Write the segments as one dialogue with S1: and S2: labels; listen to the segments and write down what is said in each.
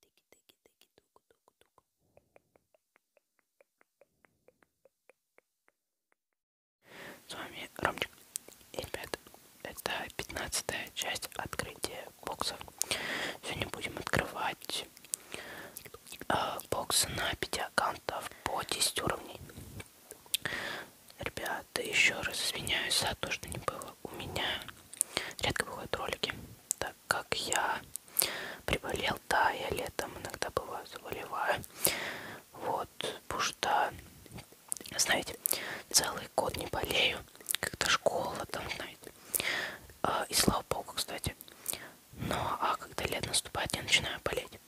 S1: Тыки-тыки-тыки-тук-тук-тук. С вами Ромчик. И, ребят, это пятнадцатая часть открытия бокса. Сегодня будем открывать э, боксы на 5 аккаунтов по 10 уровней. Ребята, еще раз извиняюсь за то, что не было у меня. Редко выходят ролики. Да, так как я приболел, да, я летом иногда бываю, заболеваю. Вот, потому что, знаете, целый год не болею, как-то школа там, знаете. А, и слава богу, кстати. Но, ну, а когда лет наступает, я начинаю болеть.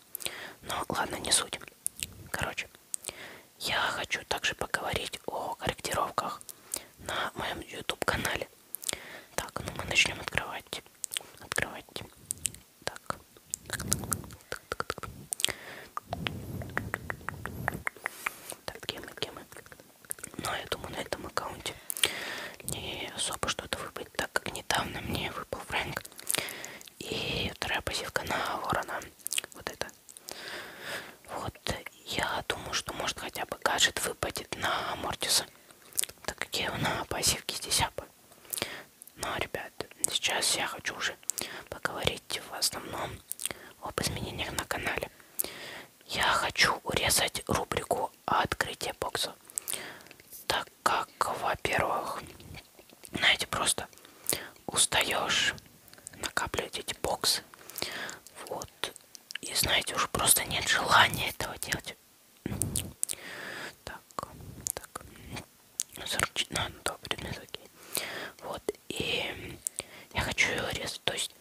S1: Но, ну, ладно, не суть. Короче, я хочу также поговорить о корректировках на моем YouTube-канале. Так, ну мы начнем открывать. Открывать. Так. Так, так, так, так. Так, где мы, где мы? Но ну, я думаю, на этом аккаунте не особо что-то выпадет, так как недавно мне выпал Фрэнк. И вторая пассивка на Ворона. Вот это. Вот, я думаю, что может хотя бы гаджет выпадет на Амортиса. Так как я его на пассивке здесь апаю. Но, ребят, сейчас я хочу уже поговорить в основном об изменениях на канале. Я хочу урезать рубрику открытия бокса. Так как, во-первых, знаете, просто устаешь накапливать эти боксы. Вот. И знаете, уже просто нет желания этого делать. Так, так. 44, ну, да, предмет, окей. Вот, и я хочу ее резать, то есть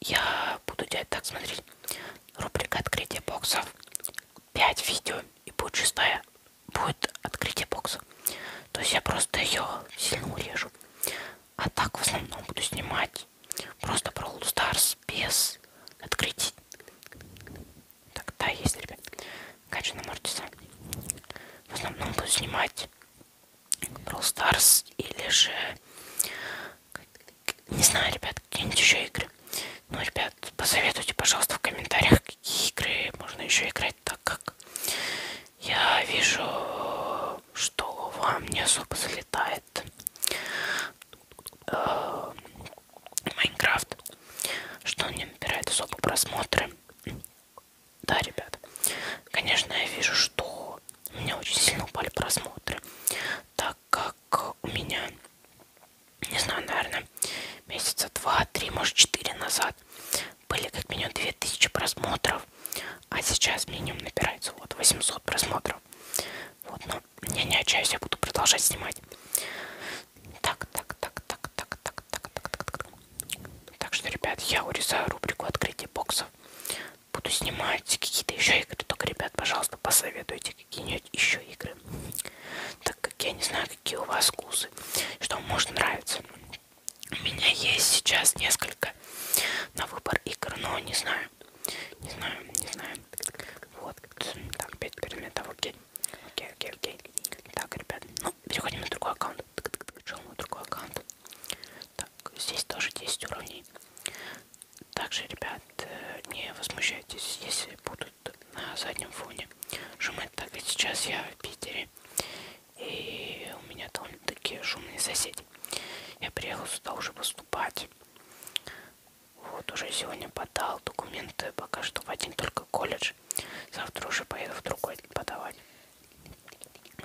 S1: я буду делать так, смотрите. Рубрика открытия боксов. 5 видео и будет шестая. Будет открытие бокса. То есть я просто ее сильно урежу. А так в основном буду снимать Stars. Просто Brawl Stars без открытий. Так, да, есть, ребят. Качу на Мортиса. В основном буду снимать Brawl Stars или же... Не знаю, ребят, какие-нибудь еще игры. Ну, ребят, посоветуйте, пожалуйста, в комментариях, какие игры можно еще играть, так как я вижу что вам не особо залетает э, Майнкрафт, что он не набирает особо просмотры. Да, ребят, конечно, я вижу, что у меня очень сильно упали просмотры, так как у меня, не знаю, наверное, месяца два, три, может четыре назад были как минимум 2000 просмотров а сейчас минимум набирается вот 800 просмотров. Вот, но я не отчаюсь, я буду продолжать снимать. Так, так, так, так, так, так, так, так, так, так. Так что, ребят, я урезаю рубрику открытия боксов. Буду снимать какие-то еще игры. Только, ребят, пожалуйста, посоветуйте какие-нибудь еще игры. Так как я не знаю, какие у вас вкусы, что вам может нравиться. У меня есть сейчас несколько на выбор игр, но не знаю, знаю. Не знаю, не знаю. Вот. Так, 5 предметов, окей. Окей, окей, окей. Так, ребят, ну, переходим на другой аккаунт. Шел на другой аккаунт. Так, здесь тоже 10 уровней. Также, ребят, э, не возмущайтесь, если будут на заднем фоне шумы. Так, ведь сейчас я в Питере. И у меня довольно-таки шумные соседи. Я приехал сюда уже после выступать. Вот уже сегодня подал документы пока что в один только колледж. Завтра уже поеду в другой подавать.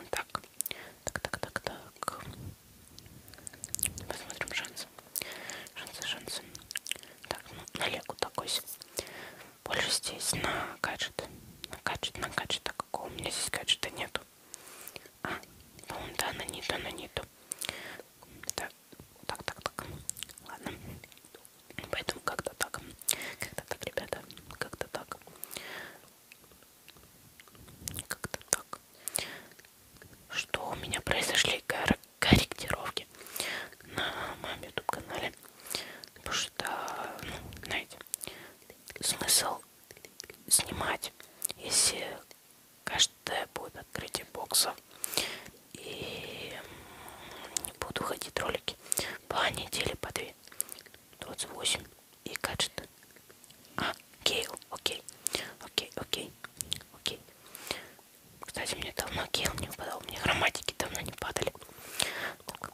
S1: Так, так, так, так, так. Посмотрим шансы. Шансы, шансы. Так, ну, на Легу такой. Больше здесь на гаджет. На гаджет, на гаджет. А какого у меня здесь гаджета нету. А, по-моему, да, на ниту, на ниту. Это... Так, так, так. Ладно. Поэтому как-то так. Как-то так, ребята. Как-то так. Как-то так. Что у меня произошли кор корректировки на моем YouTube канале. Потому что, ну, знаете, смысл снимать, если каждое будет открытие боксов. И не буду ходить ролики по неделе, по две. 28 и гаджет. А, Гейл, окей. Окей, окей, окей. Кстати, мне давно Гейл не выпадал, мне грамматики давно не падали.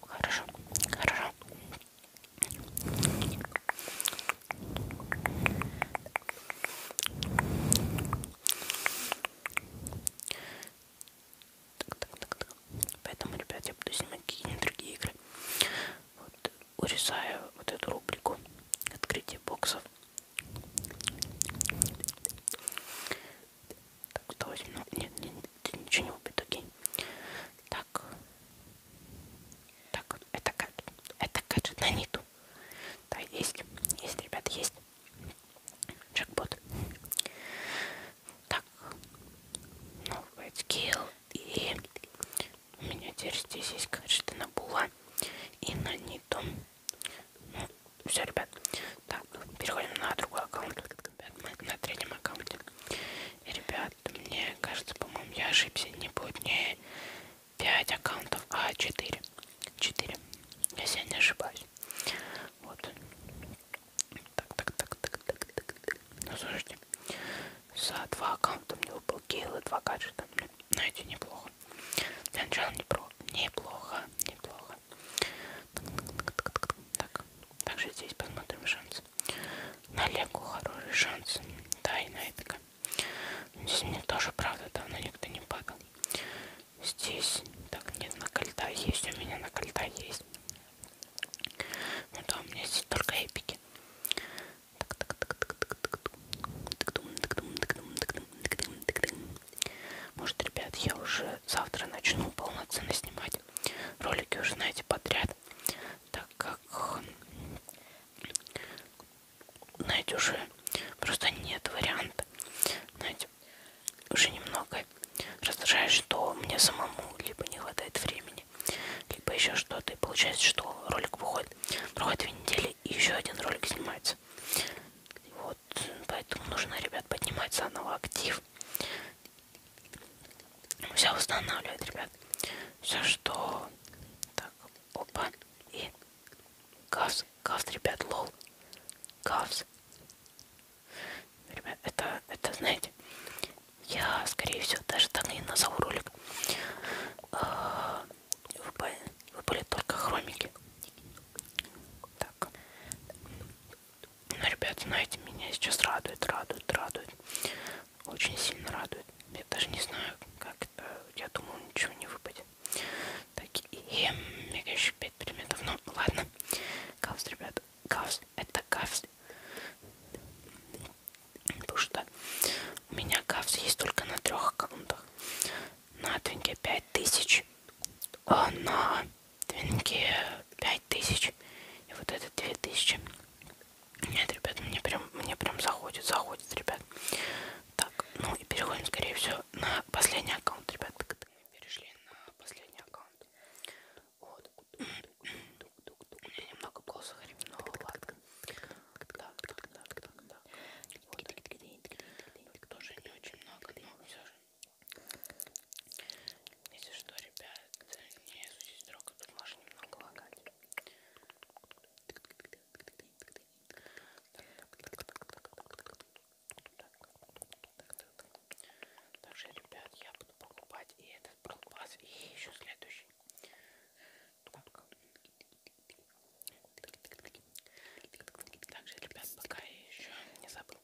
S1: Хорошо, хорошо. Так, так, так, так. Поэтому, ребят, я буду снимать какие-нибудь другие игры. Вот, урезаю вот эту рубрику открытие боксов. Так, 108, ну, нет, нет, ничего не убит, окей. Так. Так, это гаджет. Это гаджет на ниту. Да, есть. Есть, ребята, есть. Джекпот. Так. Новый скилл. И у меня теперь здесь есть гаджеты на була и на ниту. Ну, все, ребят. Так, переходим на другой аккаунт. На третьем аккаунте. И, ребят, мне кажется, по-моему, я ошибся. Не будет не 5 аккаунтов, а 4. 4. Если я не ошибаюсь. Вот. Так, так, так, так, так, так, так. Ну, слушайте, за два аккаунта мне выпал гейл и два гаджета. Знаете, неплохо. Для начала не про... неплохо, неплохо. Так, так, так, так, так. Также здесь посмотрим шансы. На Лего хороший шанс. Да, и на это Здесь ну, мне ну, тоже, правда, давно никто не падал. Здесь, так, нет, на кольта есть, у меня на кольта есть. Ну да, у меня здесь только эпики. Может, ребят, я уже завтра начну полноценно снимать ролики, уже знаете, подряд, так как знаете, уже просто нет варианта. Знаете, уже немного раздражает, что мне самому либо не хватает времени, либо еще что-то. И получается, что ролик выходит, проходит две недели, и еще один ролик снимается. Вот, поэтому нужно, ребят, поднимать заново актив. Все восстанавливает, ребят. Все, что... Так, Опан и Кавс. Кавс, ребят, лол. Кавс. Ребят, это, это, знаете, я, скорее всего, даже так и назову ролик. А, выпали, выпали только хромики. Так. Ну, ребят, знаете, меня сейчас радует, радует, радует очень сильно радует. Я даже не знаю, как это. Я думал, ничего не выпадет. Так, и мега еще 5 предметов. Ну, ладно. Кавс, ребят. Кавс. Это кавс. Потому что у меня кавс есть только на трех аккаунтах. На твинке 5000. А на твинке 5000. И вот это 2000. Нет, ребят, мне прям, мне прям заходит, заходит, ребят. Так, ну и переходим, скорее всего, на последний аккаунт, ребят. Перешли на последний аккаунт. Вот. Я немного ползахарим, но ну ладно. Так, так, так, так, так. Вот. Тоже не очень много, но все же. Если что, ребят, не суйтесь друг, тут можно немного лагать. Также, ребят, я буду покупать и этот пропас, и еще следующий. Также, ребят, пока я еще не забыл.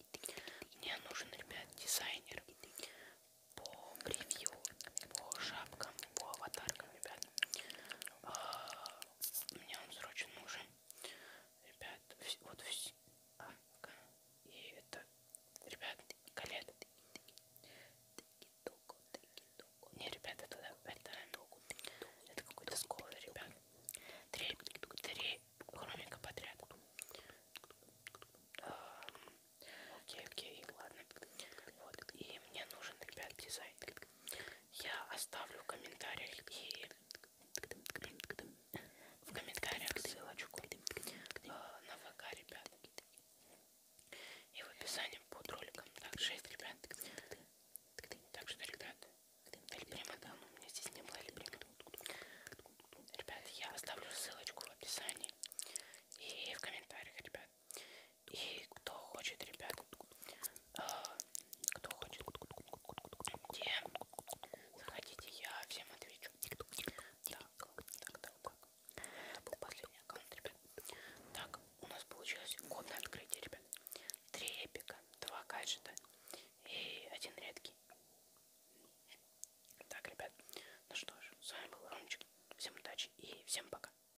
S1: Мне нужен, ребят, дизайнер по превью, по шапкам, по аватаркам, ребят. А, мне он срочно нужен. Ребят, вот все. А, и это, ребят, колет. Не, ребят, это, это, это какой-то сковор, ребят. Три, три хромика подряд. А, окей, окей, ладно. Вот, и мне нужен, ребят, дизайн. Я оставлю в комментариях и в комментариях ссылочку э, на ВК, ребят. И в описании под роликом. Так, 6, ребят. Так что, ребят, Эльприма, да, ну, у меня здесь не было Эльприма. Ребят, я оставлю ссылочку в описании и в комментариях, ребят. И кто хочет, ребят, а, кто хочет, где заходите, я всем отвечу. Так, так, так, так. Был последний аккаунт, ребят. Так, у нас получилось годное открытие, ребят. Три эпика, два гаджета и один редкий. Так, ребят, ну что ж, с вами был Ромчик. Всем удачи и всем пока.